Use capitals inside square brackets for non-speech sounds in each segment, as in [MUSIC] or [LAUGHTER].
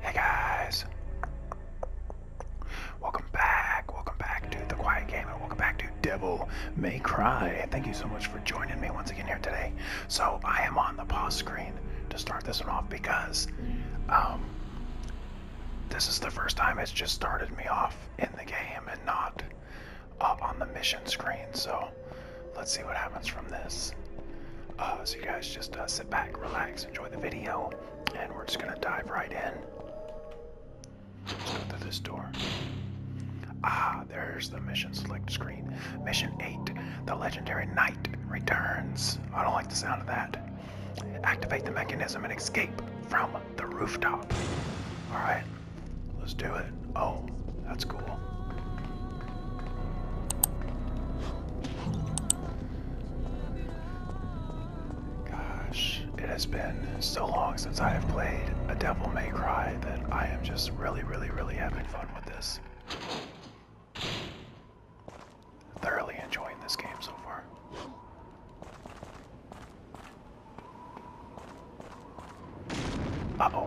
Hey guys! Welcome back, welcome back to The Quiet Gamer, welcome back to Devil May Cry. Thank you so much for joining me once again here today. So I am on the pause screen to start this one off because um, this is the first time it's just started me off in the game and not up on the mission screen. So let's see what happens from this. Uh, so you guys just uh, sit back, relax, enjoy the video, and we're just gonna dive right in. Let's go through this door. Ah, there's the mission select screen. Mission 8, the legendary knight returns. I don't like the sound of that. Activate the mechanism and escape from the rooftop. Alright, let's do it. Oh, that's cool. Gosh, it has been so long since I have played a Devil May Cry that I am just really, really, really having fun with this. Thoroughly enjoying this game so far. Uh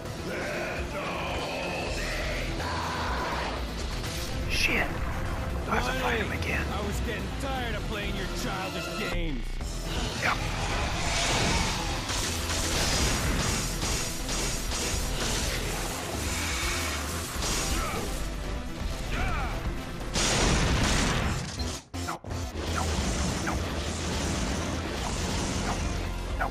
Shit. I have to fight him again. I was getting tired of playing your childish games. no, no, no, no.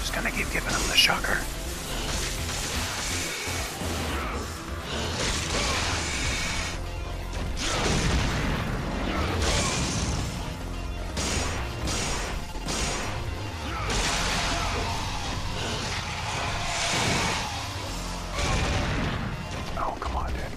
Just gonna keep giving him the shocker. Oh, come on, dude.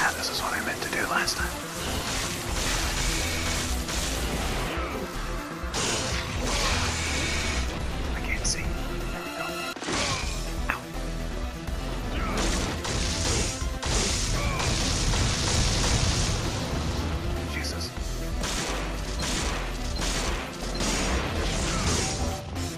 Ah, this is what I meant to do last time. I can't see. There we Jesus.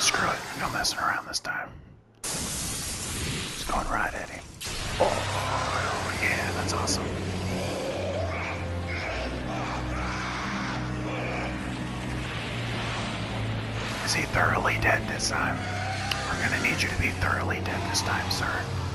Screw it, no messing around this time. Just going right at him. Oh, yeah, that's awesome. Is he thoroughly dead this time? We're gonna need you to be thoroughly dead this time, sir.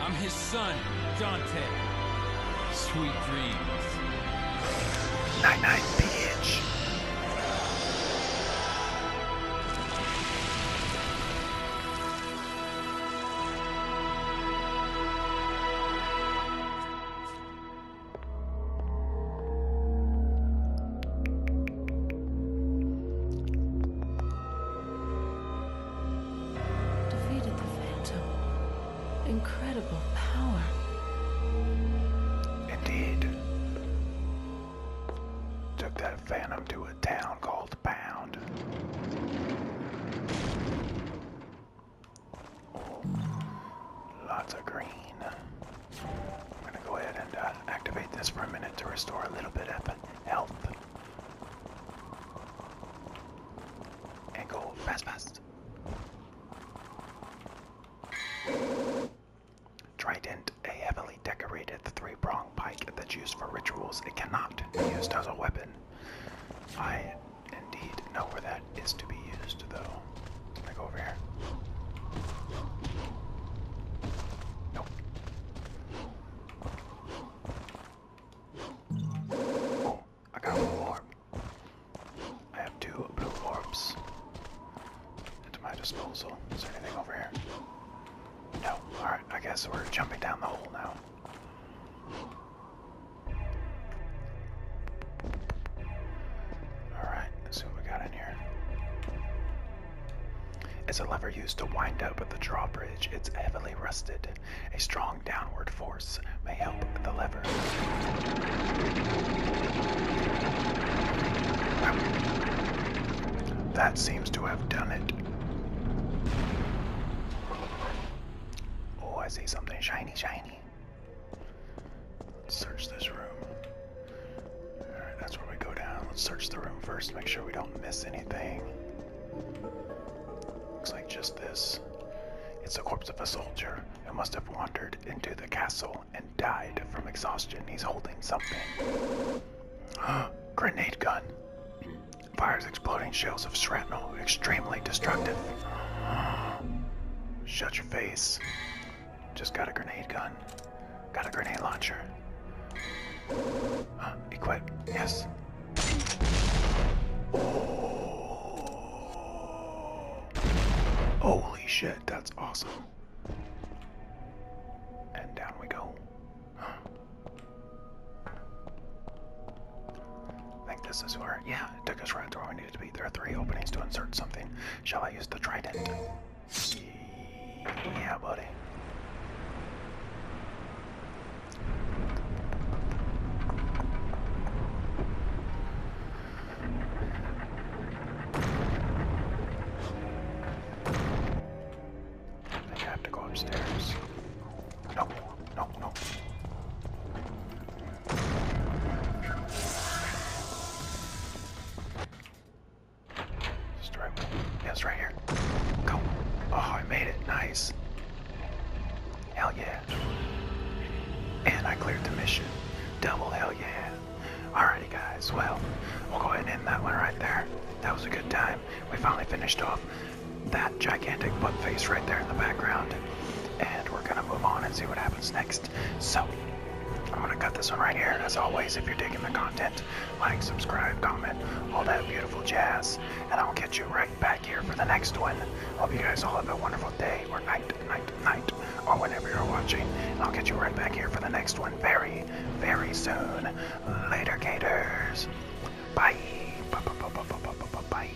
I'm his son, Dante. Sweet dreams. Night night, bitch. Defeated the Phantom. Incredible power. Indeed. Took that Phantom to a town called Pound. Oh, lots of green. I'm gonna go ahead and uh, activate this for a minute to restore a little bit of health. And go fast, fast. Trident, a heavily decorated three pronged pike that's used for rituals. It cannot be used as a weapon. I indeed know where that is to be used, though. Can I go over here? Nope. I got more. I have two blue orbs at my disposal. Is there anything over here? No. Alright, I guess we're jumping down the hole now. Alright, let's see what we got in here. As a lever used to wind up at the drawbridge, it's heavily rusted. A strong downward force may help the lever. That seems to have done it. Oh, I see something shiny, shiny. Let's search this room. Alright, that's where we go down. Let's search the room first, make sure we don't miss anything. Looks like just this. It's the corpse of a soldier who must have wandered into the castle and died from exhaustion. He's holding something. [GASPS] Grenade gun. Fires exploding shells of shrapnel, extremely destructive. [GASPS] Shut your face. Just got a grenade gun. Got a grenade launcher equip, yes. Holy shit, that's awesome. And down we go. I think this is where, yeah, it took us right to where we needed to be. There are three openings to insert something. Shall I use the trident? Yeah, buddy. I have to go upstairs. No, no, no. It's the right Yeah, it's right here. Go. Oh, I made it. Nice. Hell yeah. And I cleared the mission. Double hell yeah. Alrighty guys, well, we'll go ahead and end that one right there. That was a good time. We finally finished off that gigantic butt face right there in the background. And we're gonna move on and see what happens next. So, I'm gonna cut this one right here. As always, if you're digging the content, like, subscribe, comment, all that beautiful jazz. And I'll get you right back here for the next one. Hope you guys all have a wonderful day or night, night, night, or whenever you're watching. And I'll get you right back here for the next one very, very soon. Later, Gators. Bye. Bye. Bye. Bye. Bye. Bye. Bye.